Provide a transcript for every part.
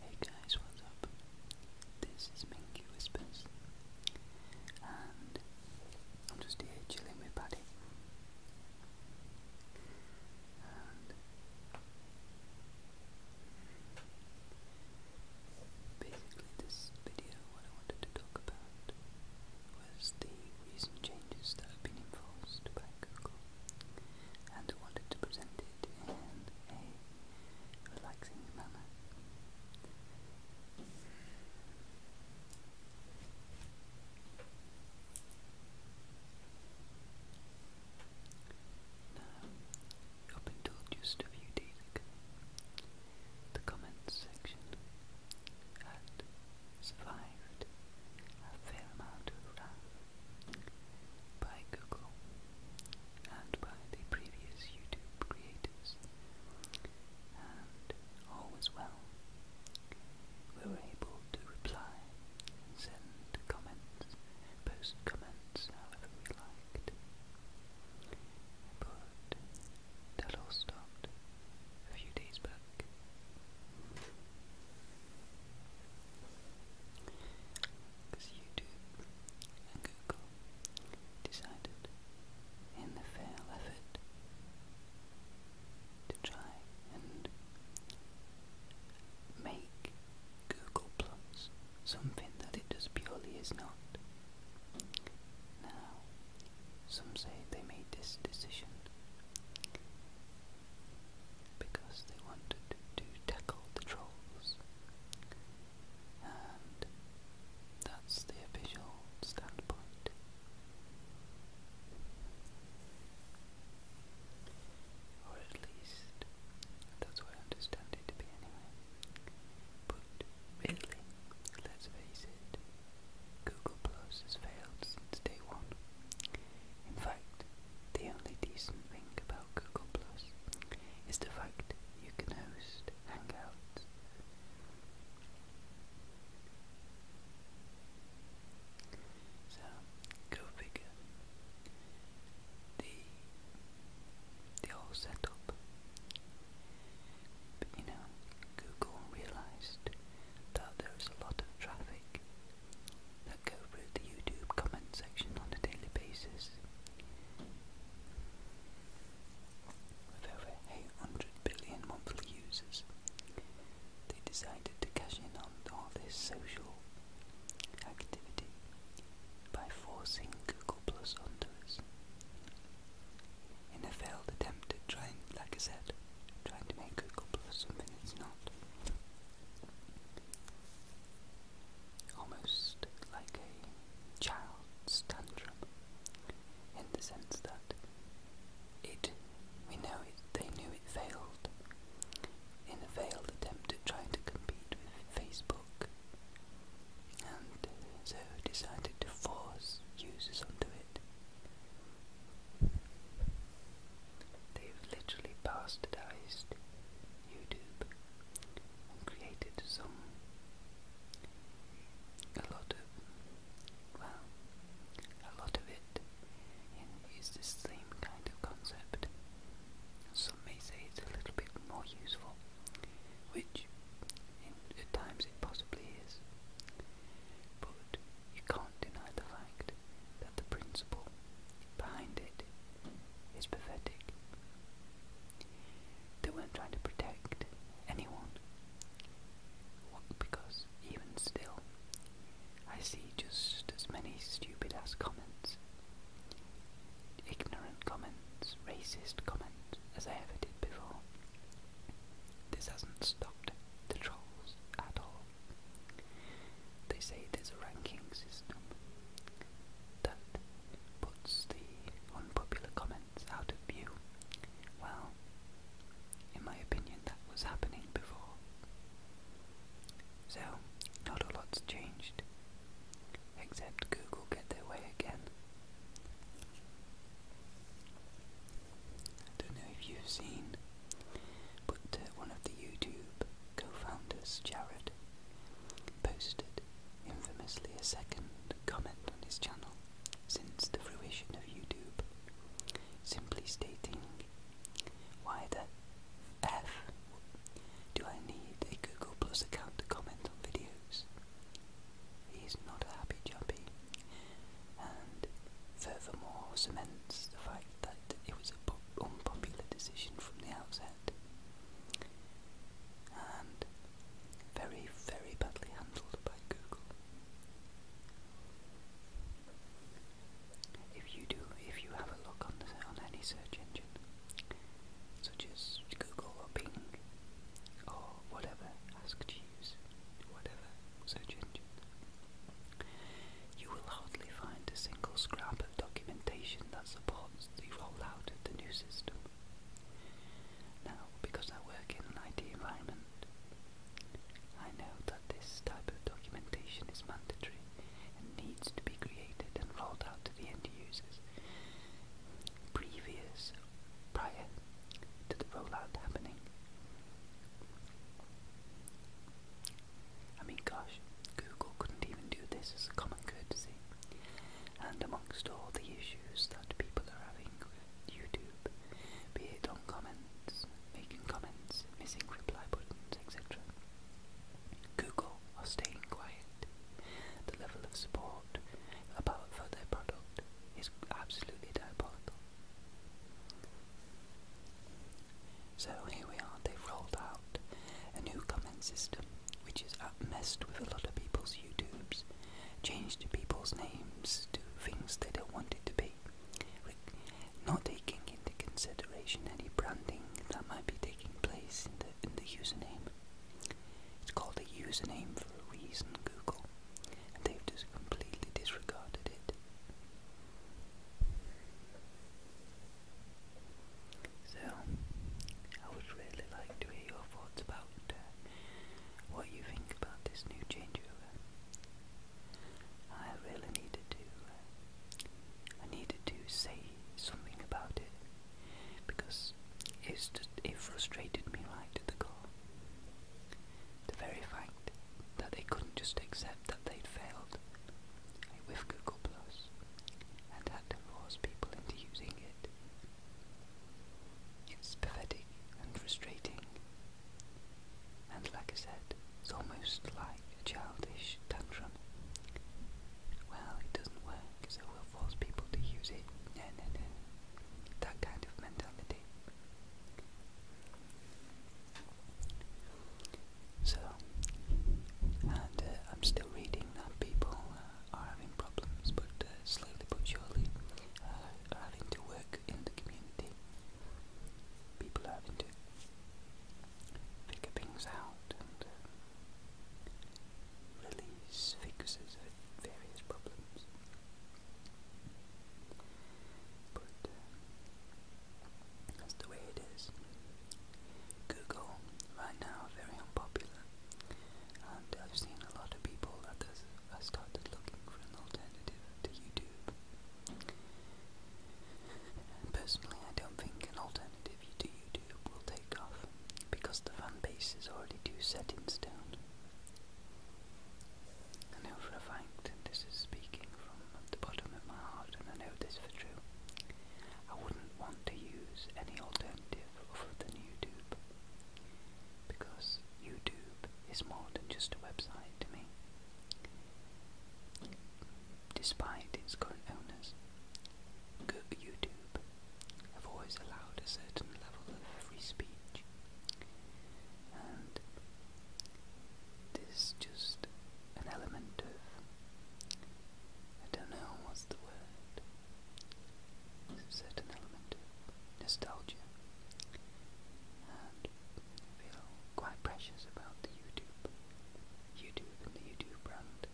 Hey guys, what's up? This is Minky Whispers, and I'm just here chilling with Paddy. basically, this video, what I wanted to talk about was the recent changes that have been enforced by Google and wanted to present it in a relaxing manner. Now, up just a few days ago, the comments section had survived survived a fair amount of wrath by Google and by the previous YouTube creators, and all was well. We were able to reply send comments, post comments however we liked. But that all stopped a few days back. Because YouTube and Google decided, in the fail effort, to try and make Google Plus something that it just purely is not. Now, some say they made this decision because they wanted to tackle the trolls, and that's the official standpoint. Or at least that's what I understand it to be anyway. But really, let's face it, Google Plus has failed since day one. In fact, the only decent thing about Google Plus is the fact you can host Hangouts. So, go figure. The, the whole setup. But you know, Google realised that there is a lot of traffic that go through the YouTube comment section on a daily basis. With over 800 billion monthly users, they decided to cash in on all this social activity by forcing Google Plus onto us in a failed attempt at trying, like I said, trying to make Google Plus something it's not. Almost like a child's tantrum, in the sense that it, we know it, they knew it failed in a failed attempt at trying to compete with Facebook, and so decided to force users onto it. They've literally bastardized YouTube and created some a lot of well a lot of it in, is the same kind of concept. Some may say it's a little bit more useful, which in, at times it possibly is. But you can't deny the fact that the principle behind it is pathetic. They weren't trying to protect anyone. Because even still, I see just as many stupid ass comments, ignorant comments, racist comments as I ever did before. This hasn't stopped the trolls at all. They say there's a ranking system that puts the unpopular comments out of view. Well, in my opinion, that was happening before. So, not a lot's changed, except Google get their way again. I don't know if you've seen, but uh, one of the YouTube co-founders, Jared, posted infamously a second comment on his channel since the fruition of YouTube, simply stating, why the F do I need a Google Plus account to comment on videos? He's not a happy jumpy, and furthermore cements the fact that it was an unpopular decision from the outset, and very, very badly handled by Google. If you do, if you have a look on the, on any search engine, such as Google or Bing or whatever, ask G issues, You will hardly find a single scrap of documentation that supports the rollout of the new system. Now, because I work in an IT environment, I know that this type of documentation is mandatory and needs to be created and rolled out to the end users previous, prior to the rollout happening. I mean, gosh, Google couldn't even do this as a common courtesy. And amongst all the issues that people are having with YouTube, be it on comments, making comments, missing reply buttons, etc., Google are staying quiet. The level of support apart from their product it's absolutely diabolical. So here we are, they've rolled out a new comment system which is messed with a lot of people's YouTubes, changed people's names to things they don't want it to be, not taking into consideration any branding that might be taking place in the, in the username. It's called a username for a reason, Google, and they've just completely disregarded it. So, I would really like to hear your thoughts about uh, what you think about this new changeover. I really needed to, uh, I needed to say something about it because it's just it frustrated me right to the core. The very fact that they couldn't just accept that they'd failed with Google Plus and had to force people into using it. It's pathetic and frustrating. And like I said, it's almost like a childish tantrum. Well, it doesn't work, so we'll force people to use it. No, no, no. That kind of mentality. So, and uh, I'm still reading people uh, are having problems, but uh, slowly but surely uh, are having to work in the community. People are having to figure things out and release focuses with various problems. But uh, that's the way it is. Google, right now, very unpopular, and I've seen a lot of people that have started looking for an alternative to YouTube. Personally, I don't think an alternative sensitivity to YouTube will take off because the fan base is already too set in stone. I for a fact, and this is speaking from the bottom of my heart, and I know this for true. I wouldn't want to use any alternative other than YouTube because YouTube is more than just a website to me. Despite its current owners, YouTube camp have always allowed a certain level of free speech, and there's just an element of I don't know what's the word. a certain element of nostalgia, and feel quite precious about the YouTube, YouTube and the YouTube brand.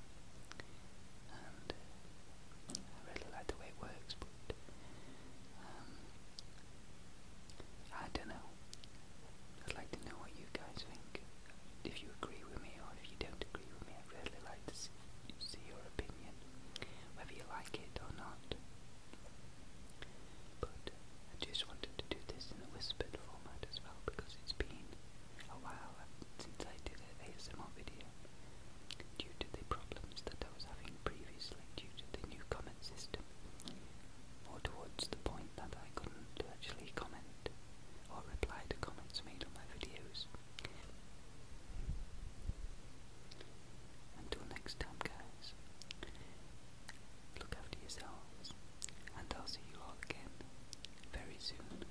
I really like the way it works, but um, I don't know. I'd like to know what you guys think. If you agree with me or if you don't agree with me, I'd really like to see, see your opinion, whether you like it or not. But I just wanted to do this in a whispered format as well because it's been a while since I did an ASMR video due to the problems that I was having previously due to the new comment system or towards the point that I couldn't actually comment or reply to comments made on my videos. Until next time guys, look after yourselves and I'll see you all again very soon.